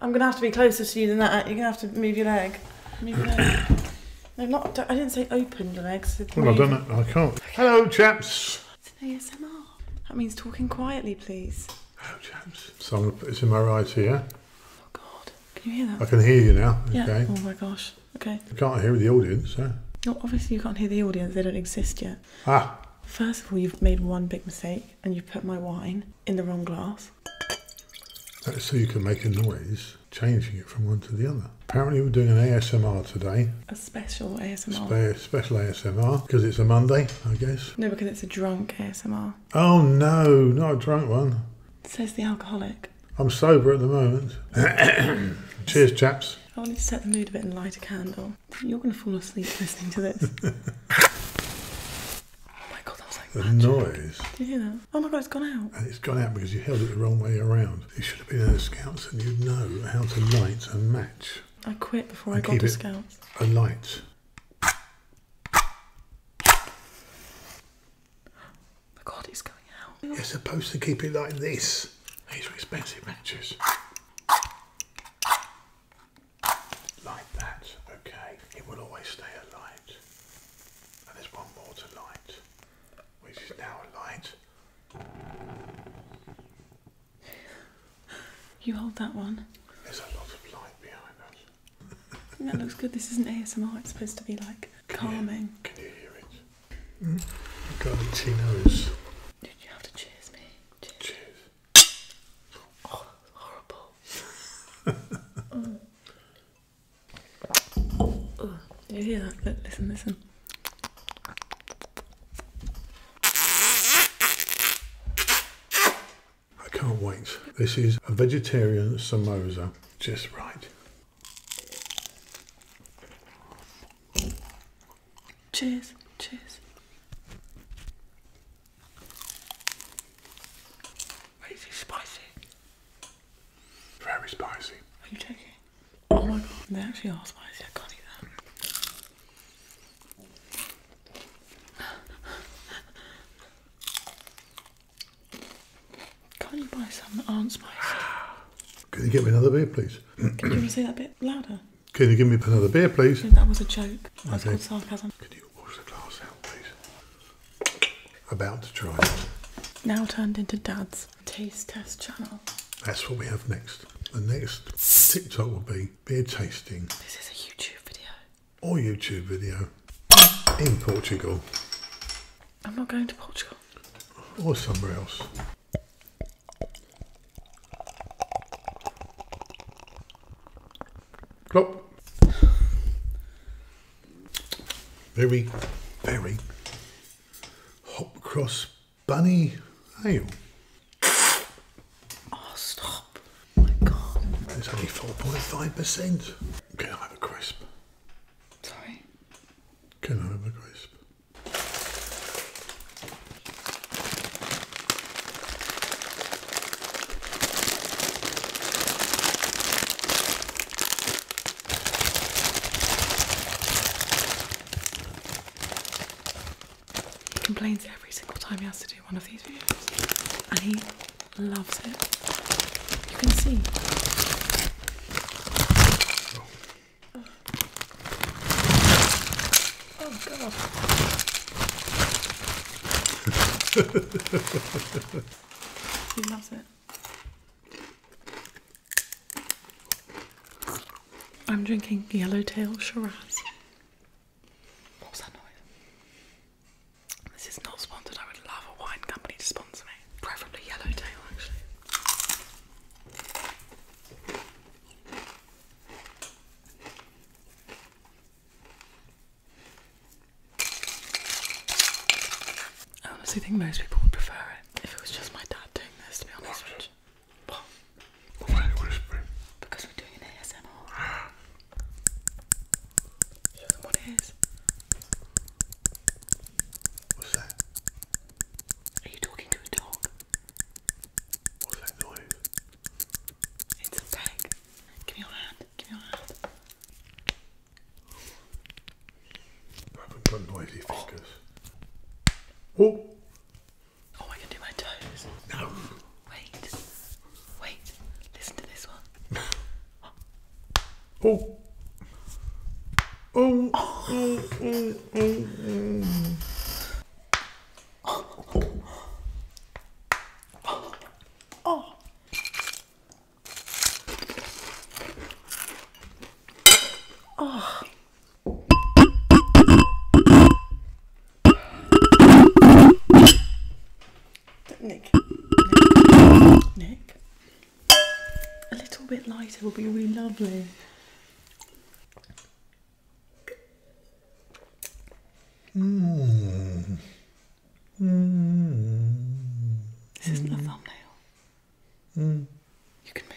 I'm going to have to be closer to you than that. You're going to have to move your leg. No, not. I didn't say open your legs. Well, I've done it. I can't. Hello, chaps. It's an ASMR. That means talking quietly, please. Hello, chaps. So I'm going to put this in my right ear. Oh, God. Can you hear that? I can hear you now. Yeah. Oh, my gosh. Okay. I can't hear the audience, No, obviously you can't hear the audience. They don't exist yet. Ah. First of all, you've made one big mistake and you put my wine in the wrong glass. so you can make a noise, changing it from one to the other. Apparently, we're doing an ASMR today. A special ASMR. special ASMR because it's a Monday, I guess. No, because it's a drunk ASMR. Oh no, not a drunk one. Says the alcoholic. I'm sober at the moment. Cheers, chaps. I wanted to set the mood a bit and light a candle. You're going to fall asleep listening to this. oh my god, that was like the noise. Do you hear that? Oh my god, it's gone out. And it's gone out because you held it the wrong way around. You should have been in the scouts, and you'd know how to light a match. I quit before I got to scouts. A light. My god, it's going out. You're supposed to keep it like this. These are expensive matches like that, okay, it will always stay a light. And there's one more to light, which is now a light. You hold that one. There's a lot of light behind us. that looks good. This isn't ASMR. It's supposed to be like calming. can you hear it? Mm. You've got she chinos. Did you have to cheers me. Cheers. cheers horrible. you hear that? listen, listen. I can't wait. This is a vegetarian samosa, just right. Cheers, cheers. Wait, spicy? Very spicy. Are you joking? Oh my god, they actually are spicy, I can't eat that. can you buy some that aren't spicy? Can you get me another beer, please? Can you say that a bit louder? Can you give me another beer, please? That was a joke. That's sarcasm. Can you wash the glass out, please? About to try. Now turned into Dad's taste test channel. That's what we have next. The next TikTok will be beer tasting. This is a YouTube video. Or YouTube video. In Portugal. I'm not going to Portugal. Or somewhere else. Klopp. Very, very hop cross bunny ale. Oh. oh, stop. Oh my God. It's only 4.5%. Can I have a crisp? Sorry? Can I have a crisp? He complains every single time he has to do one of these videos, and he loves it. You can see. Oh, God. he loves it. I'm drinking Yellowtail Shiraz. What that noise? This is not sponsored. I would love a wine company to sponsor me preferably yellowtail actually. I honestly think most people would prefer it if it was just my dad doing this, to be honest with you. Because we're doing an ASMR. Show What's that? Are you talking to a dog? What's that noise? It's a peg. Give me your hand. Give me your hand. I haven't got noisy fingers. Oh. oh! Oh, I can do my toes. No! Wait. Wait. Listen to this one. Oh. oh. Oh. Oh. Oh. Oh. oh. Nick. Nick. Nick a little bit lighter will be really lovely. This isn't a thumbnail. You can move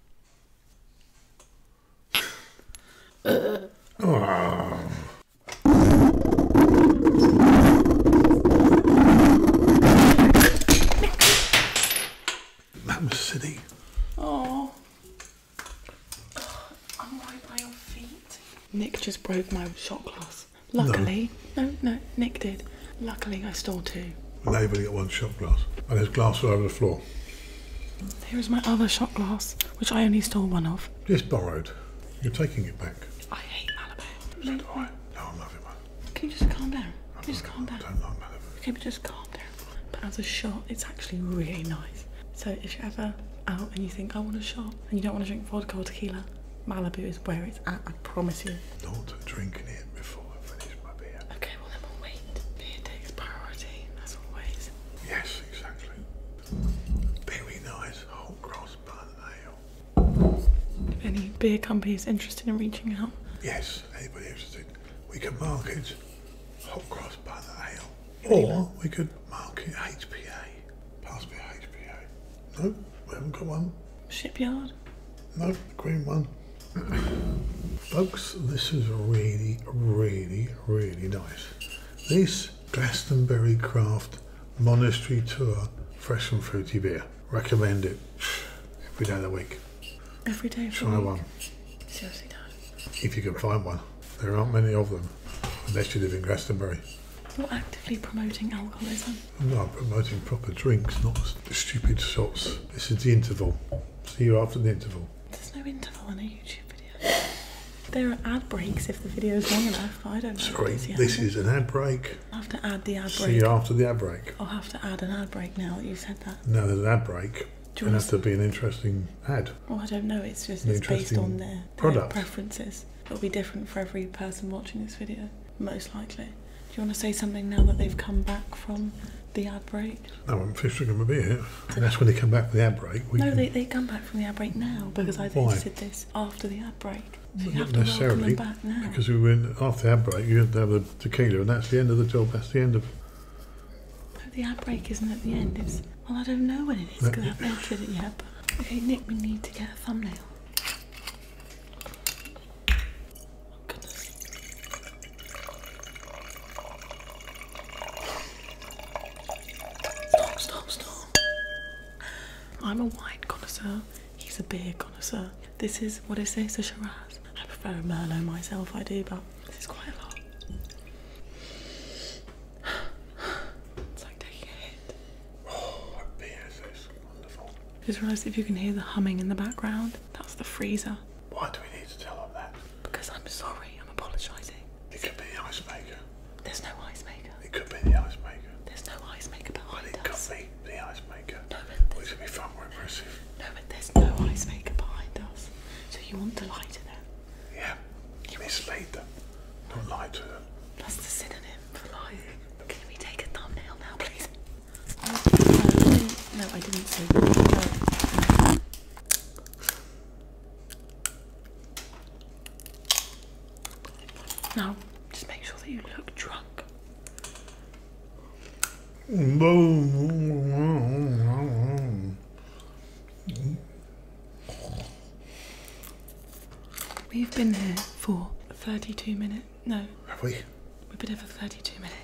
That was silly. Oh. I'm right by your feet. Nick just broke my shot glass. Luckily, no, no, Nick did. Luckily, I stole two. And Waverley got one shot glass, and his glass was over the floor. Here is my other shot glass, which I only stole one of. Just borrowed. You're taking it back. I hate Malibu. So No, I love it, Can you just calm down? Can you just calm down? I don't like Malibu. Okay, but just calm down. But as a shot, it's actually really nice. So if you're ever out and you think, I want a shot, and you don't want to drink vodka or tequila, Malibu is where it's at promise you. Not drinking it before I finish my beer. Okay, well then we'll wait. Beer takes priority, as always. Yes, exactly. Very nice whole cross bun ale. If any beer company is interested in reaching out. Yes, anybody interested. We can market hot cross bun ale. Or we could market HPA. Pass me HPA. No, we haven't got one. Shipyard? No, green one. Folks, this is really, really, really nice. This Glastonbury Craft Monastery Tour Fresh and Fruity Beer. Recommend it every day of the week. Every day of Try one. Seriously, If you can find one. There aren't many of them, unless you live in Glastonbury. Not actively promoting alcoholism. No, promoting proper drinks, not stupid shots. This is the interval. See you after the interval. There's no interval in a YouTube video. There are ad breaks if the video is long enough. I don't know. Sorry, this is an ad break. i have to add the ad break. See you after the ad break. I'll have to add an ad break now that you've said that. No, there's an ad break. Do and has to be an interesting ad. Well, I don't know. It's just based on their preferences. It'll be different for every person watching this video most likely. Do you want to say something now that they've come back from the ad break? No, I'm fishing them be here, And that's when they come back from the ad break. no, they, they come back from the ad break now because I visited this after the ad break. So not necessarily, Because we went after the ad break, you had have the tequila, and that's the end of the job. That's the end of. No, the ad break isn't at the end. It's well, I don't know when it is because I haven't entered it yet. Okay, Nick, we need to get a thumbnail. Stop, stop, stop. I'm a wine connoisseur. He's a beer connoisseur. This is what is this? A Shiraz. I prefer a Merlot myself, I do, but this is quite a lot. It's like taking a Oh, that beer is wonderful. Just realised if you can hear the humming in the background, that's the freezer. Why do we need to tell them that? Because I'm sorry, I'm apologising. It could be the ice maker. There's no ice maker. It could be the ice maker. There's no ice maker behind us. It could be the ice maker. No, but be far more impressive. No, but there's no ice maker behind us. So you want to lie to them? Yeah, you mislead them. Don't lie to them. That's the synonym for lying. Can we take a thumbnail now, please? No, I didn't say that. No, just make sure that you look drunk. We've been here for 32 minutes. No. Have we? We've been here for 32 minutes.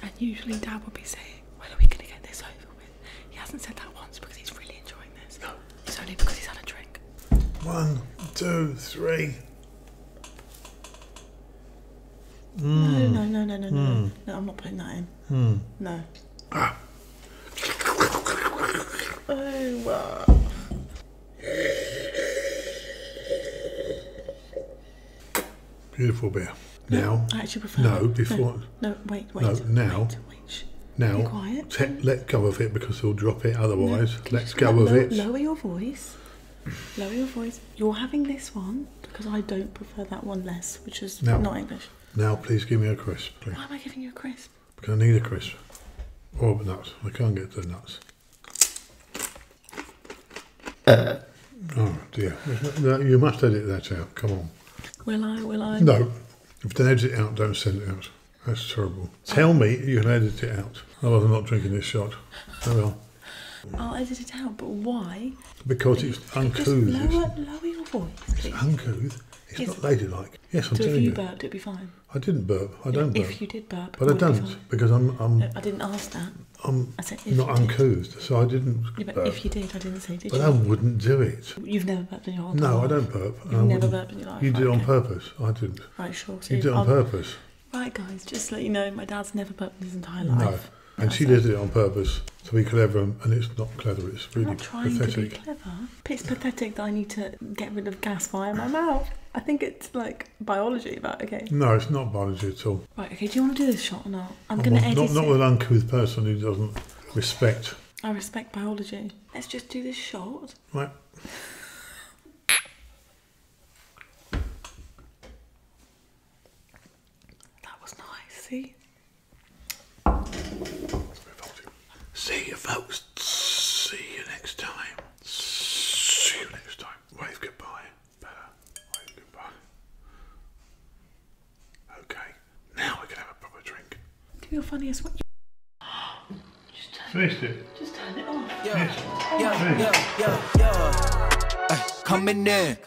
And usually Dad would be saying, when are we going to get this over with? He hasn't said that once because he's really enjoying this. It's only because he's had a drink. One, two, three. No, no, hmm. no, no, no, no, hmm. no. I'm not putting that in. Hmm. No. Oh, Beautiful bear. Now. I actually prefer. No, before. No, wait, wait. No, now. Now, quiet. let go of it because he'll drop it otherwise. No, let go of it. Lower your voice. Lower your voice. You're having this one because I don't prefer that one less, which is not English. Now, please give me a crisp, Why am I giving you a crisp? Because I need a crisp. Or oh, nuts. I can't get the nuts. Uh. Oh dear. you must edit that out. Come on. Will I? Will I? No. If you don't edit it out, don't send it out. That's terrible. Tell me you can edit it out. Otherwise, I'm not drinking this shot. I will. I'll edit it out, but why? Because it's uncouth. Just lower, lower your voice. It's uncouth. It's, not ladylike. Yes, I'm telling you. if you burped, it'd be fine. I didn't burp. I don't burp. If you did burp, but I don't because I'm. i I didn't ask that. I'm said not uncouthed, so I didn't. but if you did, I didn't say. Did but you? I wouldn't do it. You've never burped in your whole No, I don't burp. You've never burped in your life. You did right, on purpose. I didn't. Right, sure. you did on purpose. Right, guys, just to let you know, my dad's never burped in his entire life. And she did it on purpose to be clever, and it's not clever. It's really i trying pathetic. To be clever. It's pathetic that I need to get rid of gas via my mouth. I think it's like biology, but okay. No, it's not biology at all. Right, okay. Do you want to do this shot or not? I'm going to edit not, not with an uncouth person who doesn't respect. I respect biology. Let's just do this shot. Right. that was nice. See. See you folks. See you next time. See you next time. Wave goodbye. Better. Wave goodbye. Okay. Now we can have a proper drink. Do your funniest one. Just turn, Finished it. Just turn it off. Yo, Finished. yo, yo, yo, yo. Hey, coming in.